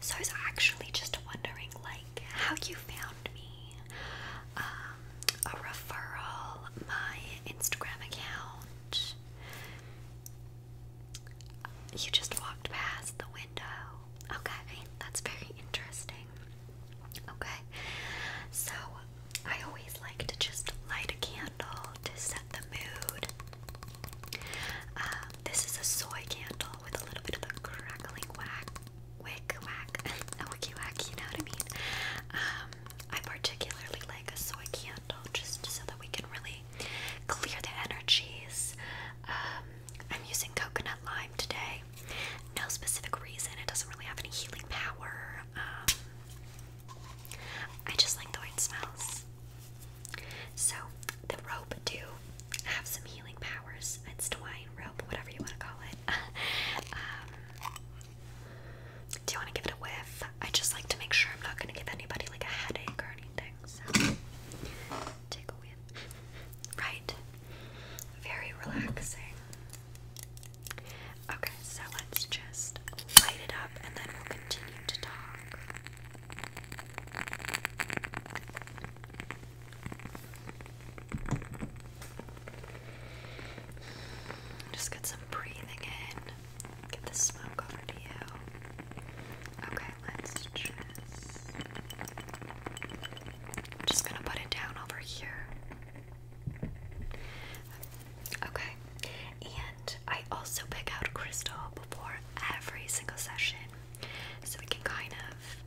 So I was actually just wondering, like, how you found me. Um, a referral, my Instagram account. You just walked past the window. Okay, that's very interesting. Okay, so I always like to just light a candle to set the mood um, this is a soy candle with a little bit of a crackling wack wick, wack a wicky whack, you know what I mean? Um, I particularly like a soy candle just so that we can really clear the energies. Um, I'm using coconut lime today. No specific reason, it doesn't really have any healing power. I just like the way it smells. So, the rope do have some healing powers. It's twine, rope, whatever you want to call it. Um, do you want to give it a whiff? I just like to make sure I'm not going to give anybody like a headache or anything. take a whiff. Right? Very relaxing. Okay, so let's just light it up and then we'll continue to talk. Just get some breathing in. Get the smoke over to you. Okay, let's just. just gonna put it down over here. Okay, and I also pick out a Crystal before every single session so we can kind of,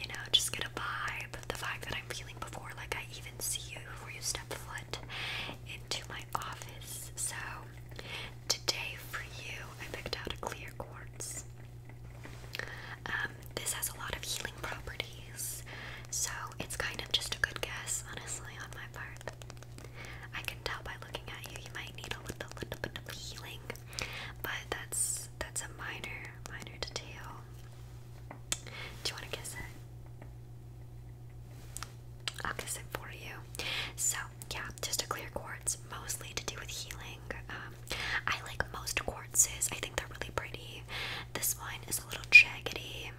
you know, just get a vibe, the vibe that I'm feeling before, like I even see you before you step foot into my office. So today for you, I picked out a clear quartz. Um, this has a lot of healing properties, so it's kind of just a good guess, honestly, on my part. I can tell by looking at you, you might need a little, bit of healing, but that's that's a minor, minor detail. Do you want to kiss it? I'll kiss it for you. So yeah, just a clear quartz, mostly to do with healing. Um, I like most quartzes. I think they're really pretty. This one is a little jaggedy.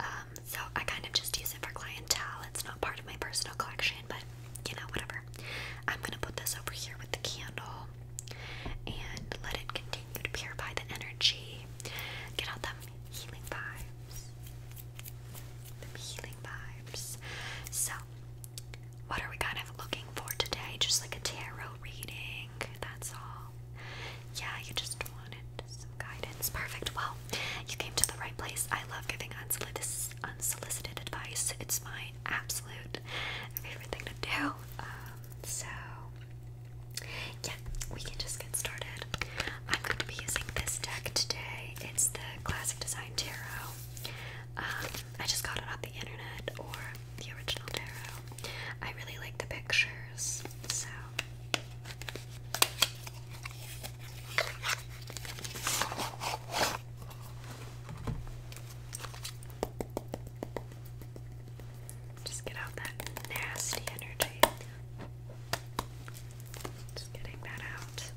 Um, so I kind of just use it for clientele. It's not part of my personal collection, but you know, whatever. I'm gonna put this over here with the candle and let it continue to purify the energy. Get out them healing vibes. The healing vibes. So, what are we kind of looking for today? Just like a tarot reading, that's all. Yeah, you just wanted to guidance. Perfect. Well, you came to the right place. I love giving unsolicited, unsolicited advice. It's my absolute favorite thing to do. Um, so, yeah, we can just get started. I'm going to be using this deck today. It's the Classic Design Tarot. Um, I just got it off the internet or the original tarot. I really like the pictures, so. Just get out that nasty energy. Just getting that out.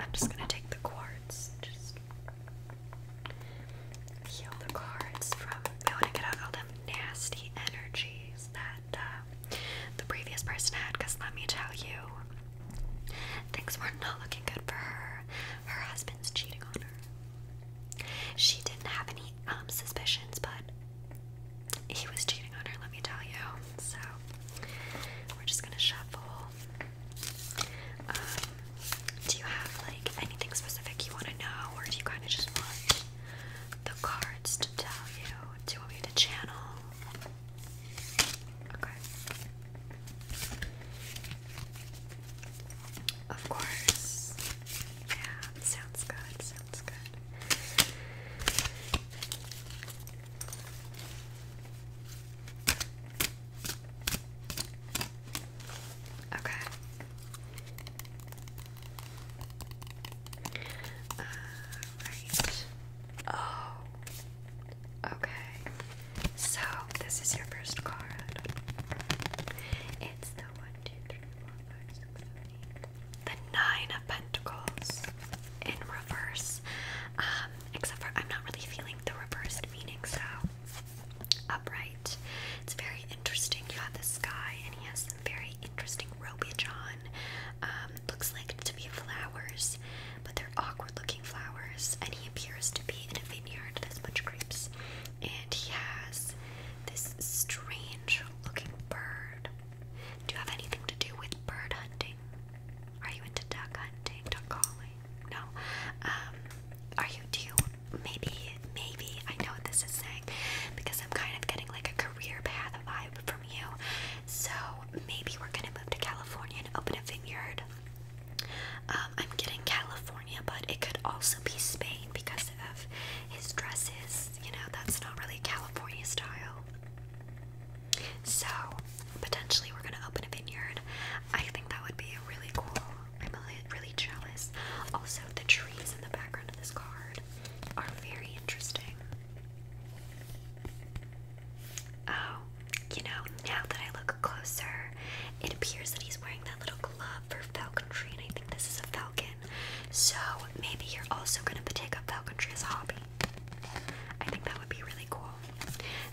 I'm just going to take the quartz, just heal the cards from. We want to get out all them nasty energies that uh, the previous person had, because let me tell you, things were not looking good for her. Her husband's cheating on her. She didn't have any um, suspicions, but he was cheating on her, let me tell you. So, we're just gonna shuffle. Um, do you have like anything specific you want to know, or do you kind of just want the cards to tell you? Do you want me to channel? Of course. Yeah, sounds good. Sounds good. Okay. All uh, right. Oh. Okay. So this is your first card. It's the one, two, three, four, five, six, seven, eight. The nine of pentacles in reverse. Um, except for I'm not really feeling the reversed meaning, so upright. It's very interesting. You have this guy, and he has some very interesting robage on. Um, looks like to be flowers, but they're awkward-looking flowers. And he appears to be in a vineyard. There's a bunch of grapes, and he has this strange-looking bird. Do you have anything to do with bird hunting? Are you into duck hunting, duck calling? No. Um, are you? Do Maybe, maybe. I know what this is saying because I'm kind of getting like a career path vibe from you. So maybe we're gonna move to California and open a vineyard. Um, I'm getting California, but it could also be Spain because of his dresses. You know, that's not really California style. So potentially we're gonna open a vineyard. I think that would be really cool I'm really jealous. Also, the trees in the background of this card are very interesting. Oh, you know, now that I look closer, it appears that he's wearing that little glove for falconry, and I think this is a falcon. So maybe you're also gonna take up falconry as a hobby. I think that would be really cool.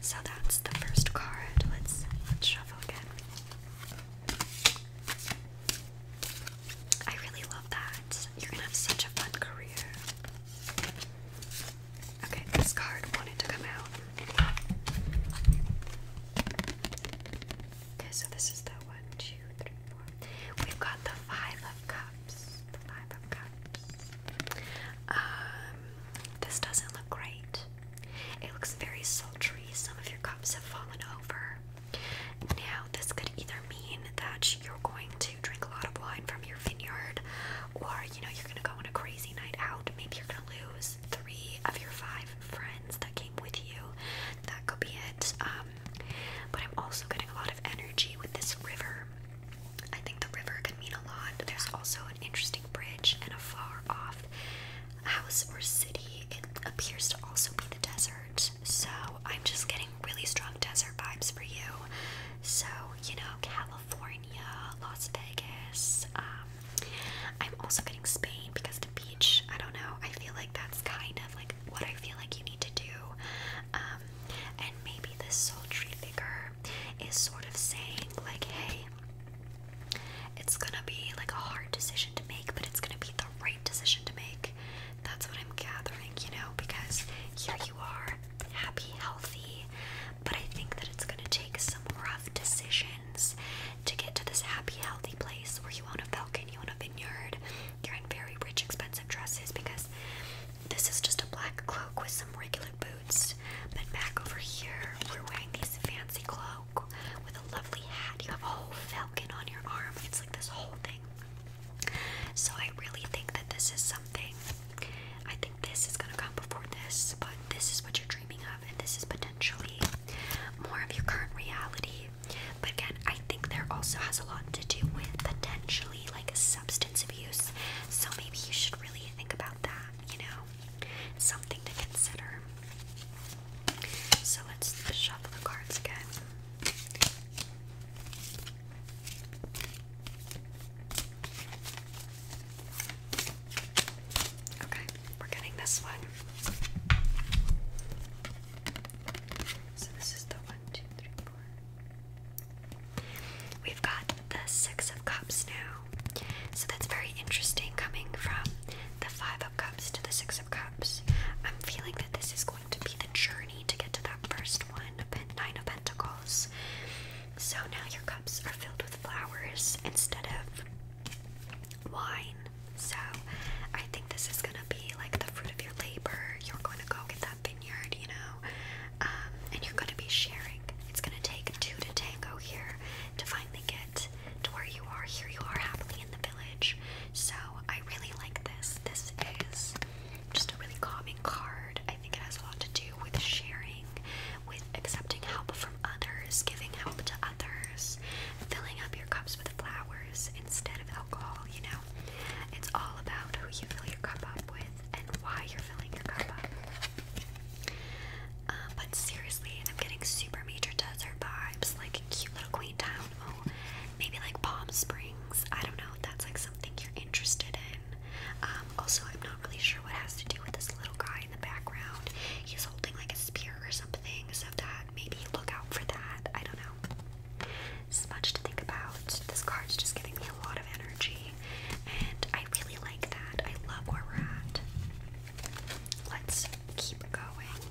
So that's the first card. Let's shuffle again. I really love that. You're gonna have such a fun career. Okay, this card wanted to come out. Okay, so this is the one, two, three, four. We've got the five of cups. The five of cups. Um, this doesn't look great. It looks very sultry. Some of your cups have fallen over. Now, this could either mean that you're going to drink a lot of wine from your vineyard, or you know, you're going to go on a crazy night out. Maybe you're going to lose three of your five friends that came with you. That could be it. Um, but I'm also getting a lot of energy with this river. I think the river can mean a lot. There's also an interesting bridge and a far off house or city. It appears to also be the desert. So I'm just getting really strong desert vibes for you. So, you know, California, Las Vegas. Um, I'm also getting Spain because the beach, I don't know, I feel like that's kind of like what I feel like you need to do. Um, and maybe this sultry figure is sort of saying, like, hey, it's gonna be like a hard decision to make, but it's gonna be the right decision to make. That's what I'm gathering, you know, because here you are, happy, healthy, but I think that it's gonna take some rough decisions to get to this happy, healthy place where you own a falcon, you own a vineyard, you're in very rich, expensive dresses because this is just a black cloak with some regular boots. Then back over here, we're wearing this fancy cloak with a lovely hat. You have a whole falcon on your arm. It's like this whole thing. So I really think that this is something. I think this is gonna come before this, but this is what you're dreaming of, and this is potentially more of your current reality. But again, I think there also has a lot to do with potentially like substance abuse. So maybe you should really think about that, you know? something to consider. So let's shuffle the cards again. Okay, we're getting this one. So this is the one, two, three, four. We've got the Six of Cups now. So that's very interesting coming from the Five of Cups to the Six of Cups. I'm feeling that this is going to be the journey to get to that first one, Nine of Pentacles. So now your cups are filled with flowers instead of wine. So I think this is going to be like the fruit of your labor. You're going to go get that vineyard, you know, um, and you're going to be sharing. It's going to take two to tango here to finally get to where you are. Here you are, happily in the village. So I really like this. This is just a really calming card. I think it has a lot to do with sharing, with accepting help from others, giving help to others, filling up your cups with flowers instead of alcohol. You know, it's all about who you fill your cup up with and why you're filling your cup up. Uh, but seriously, I'm getting super major desert vibes, like cute little Queen Town. Oh, maybe like Palm Springs. I don't know. If that's like something you're interested in. Um, also, I'm not really sure what has to do with this little guy in the background. He's holding like a spear or something. So that maybe look out for that. I don't know. So much to think about. This card's just giving me a lot of energy, and I really like that. I love where we're at. Let's keep going.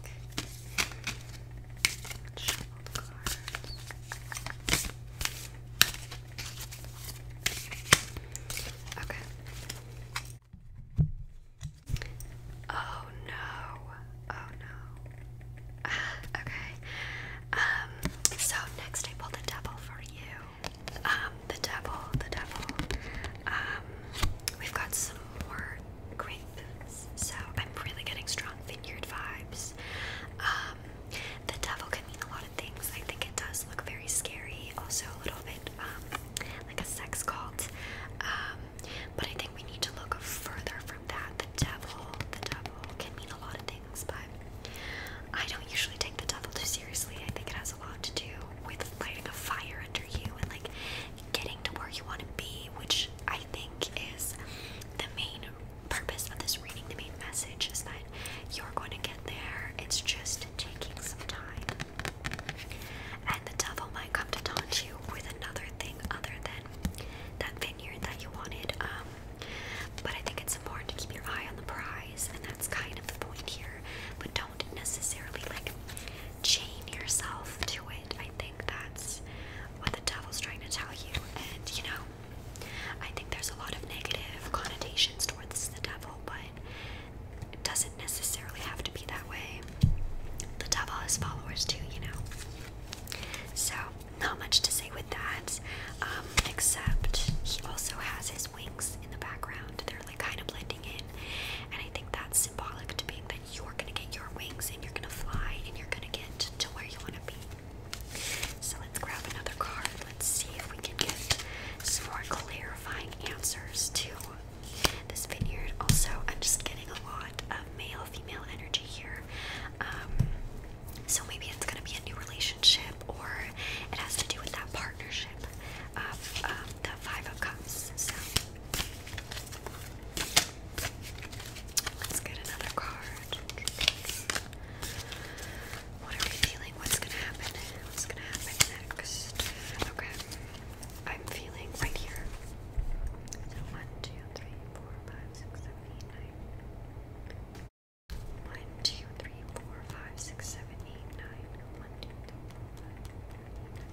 Okay. Oh no. Oh no. okay. Um, so next I pulled a double for you. Um, the devil, the devil. Um, we've got some more great so I'm really getting strong vineyard vibes. Um, the devil can mean a lot of things. I think it does look very scary, also a little bit like a sex cult. but I think we need to look further from that. The devil, the devil can mean a lot of things but I don't usually take the devil too seriously. I think it has a lot to do with lighting a fire under you and like getting to where you want to be, which I think is the main purpose of this reading. The main message is that you're going to get there. It's just taking some time. And the devil might come to taunt you with another thing other than that vineyard that you wanted. Um, but I think it's important to keep your eye on the prize, and that's kind of the point here. But don't necessarily like chain yourself to it. I think that's what the devil's trying to tell you. And you know, I think there's a lot of negative connotations towards the devil, but it doesn't necessarily have to be that way. The devil has followers too, you know. So not much to say with that, um, except he also has his wings in the background. They're like kind of blending in, and I think that's symbolic to being that you're gonna get your wings and you're gonna fly and you're gonna get to where you wanna be. So let's grab another card. Let's see if we can get some more clarifying answers to this vineyard. Also, I'm just getting a lot of male female energy here. Um, so maybe it's gonna be a new relationship, or it has to do with that partnership of um, the Five of Cups. So let's get another card. What are we feeling? What's gonna happen? What's gonna happen next? Okay, I'm feeling right here. one, two, three, four, five, six, seven, eight, nine. 1, 2, 3, 4, 5, 6, 7, 8, 9. 1, 2, 3, 4,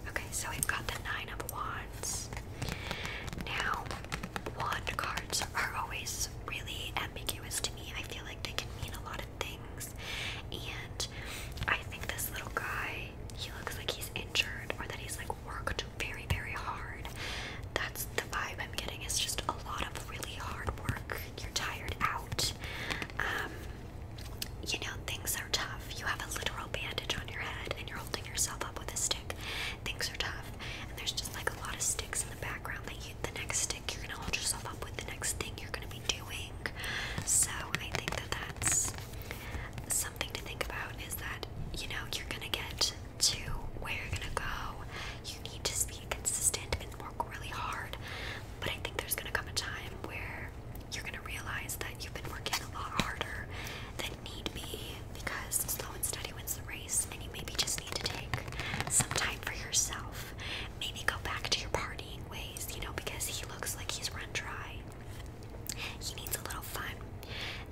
5. Okay, so we've got the 9 of Wands. Now, wand cards are always really ambiguous to me. I feel like they can mean a lot of things. And I think this little guy, he looks like he's injured or that he's like worked very, very hard. That's vibe I'm getting is just a lot of really hard work. You're tired out. Um, you know, things are tough. You have a literal bandage on your head and you're holding yourself up with a stick. Things are tough. And there's just like a lot of sticks in the background that you, the next stick you're gonna hold yourself up with, the next thing you're gonna be doing. So I think that that's something to think about is that, you know, you're gonna get to where you're gonna go. You need to be consistent and work really hard. But I think there's gonna come a time where you're gonna realize that you've been working a lot harder than need be because slow and steady wins the race, and you maybe just need to take some time for yourself. Maybe go back to your partying ways, you know, because he looks like he's run dry. He needs a little fun,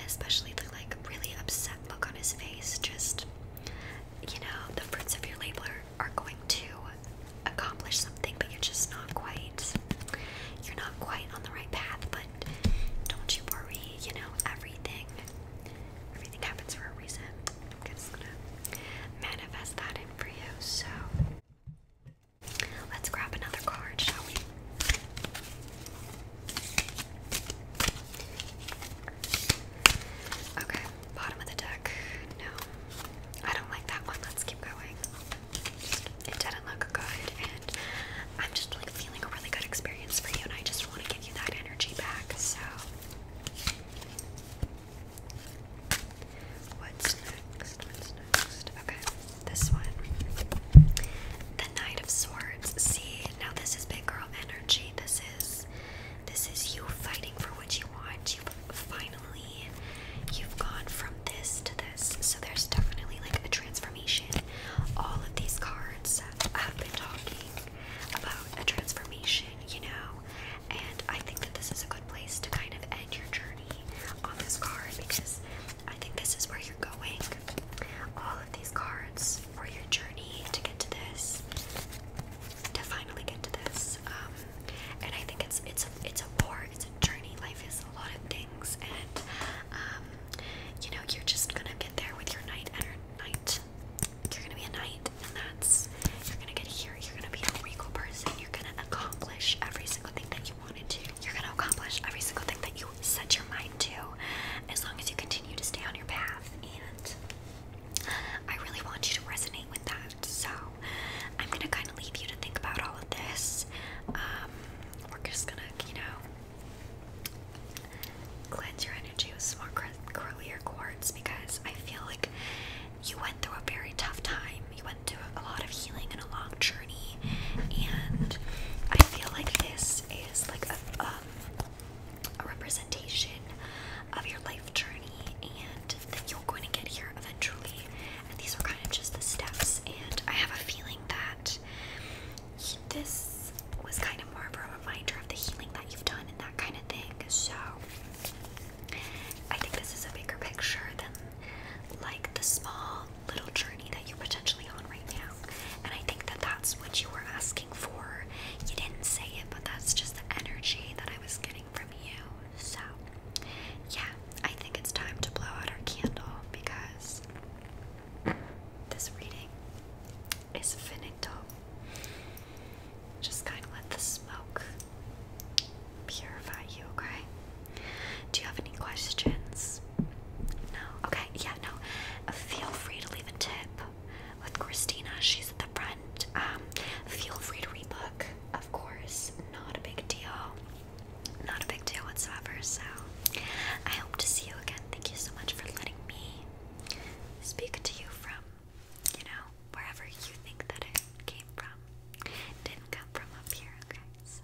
especially the like really upset look on his face, just you know, the fruits of your labor are going to accomplish something, but you're just not quite you're not quite on the right path, but don't you worry, you know, everything everything happens for a reason. I'm just gonna manifest that in for you. So let's grab another card, shall we? Okay, bottom of the deck. No, I don't like that one. Let's keep going. it didn't look good, and I'm just like feeling a really good experience for you, and I just want to give you that energy back. So, what's next? What's next? Okay, this one. The Knight of Swords. See, now this is big girl energy. This is this is you fighting for what you want. You've finally you've gone from this to this. So there's definitely like a transformation. All of these cards have been talking about a transformation, you know. And I think that this is a good place to kind of end your journey on this card because I think this is where you're going. All of these cards for your journey to get to this, to finally get to this. Um, and I think it's it's a it's a war, it's a journey. Life is a lot of things, and um, you know you're just gonna get there with your night and night. You're gonna be a knight, and that's you're gonna get here. You're gonna be a regal person. You're gonna accomplish every single thing that you wanted to. You're gonna accomplish every single thing that you set your mind to as long as you continue to stay on your path. And I really want you to resonate with that. So I'm going to kind of leave you to think about all of this. Um, we're just going to, you know, cleanse your energy with some more curlier quartz because I feel like you went through a very tough time. You went through a lot of healing and a long journey. And I feel like this is like a um, a representation of your life journey and that you're going to get here eventually. And these are kind of just the steps. And I have a feeling that this was kind of more of a reminder of the healing that you've done and that kind of thing. So I think this is a bigger picture than like the small little journey that you're potentially on right now. And I think that that's what you were asking for. You didn't say it, but that's just the energy that I was getting from you. So, yeah, I think it's time to blow out our candle because this reading is finito. Just kind of let the smoke purify you, okay? Do you have any questions? No. Okay. Yeah. No. Feel free to leave a tip with Christina. She's at the front. Um, feel free to rebook. Of course. Not a big deal. Not a big deal whatsoever. So, I hope to see you again. Thank you so much for letting me speak to you from, you know, wherever you think that it came from. Didn't come from up here. Okay. So.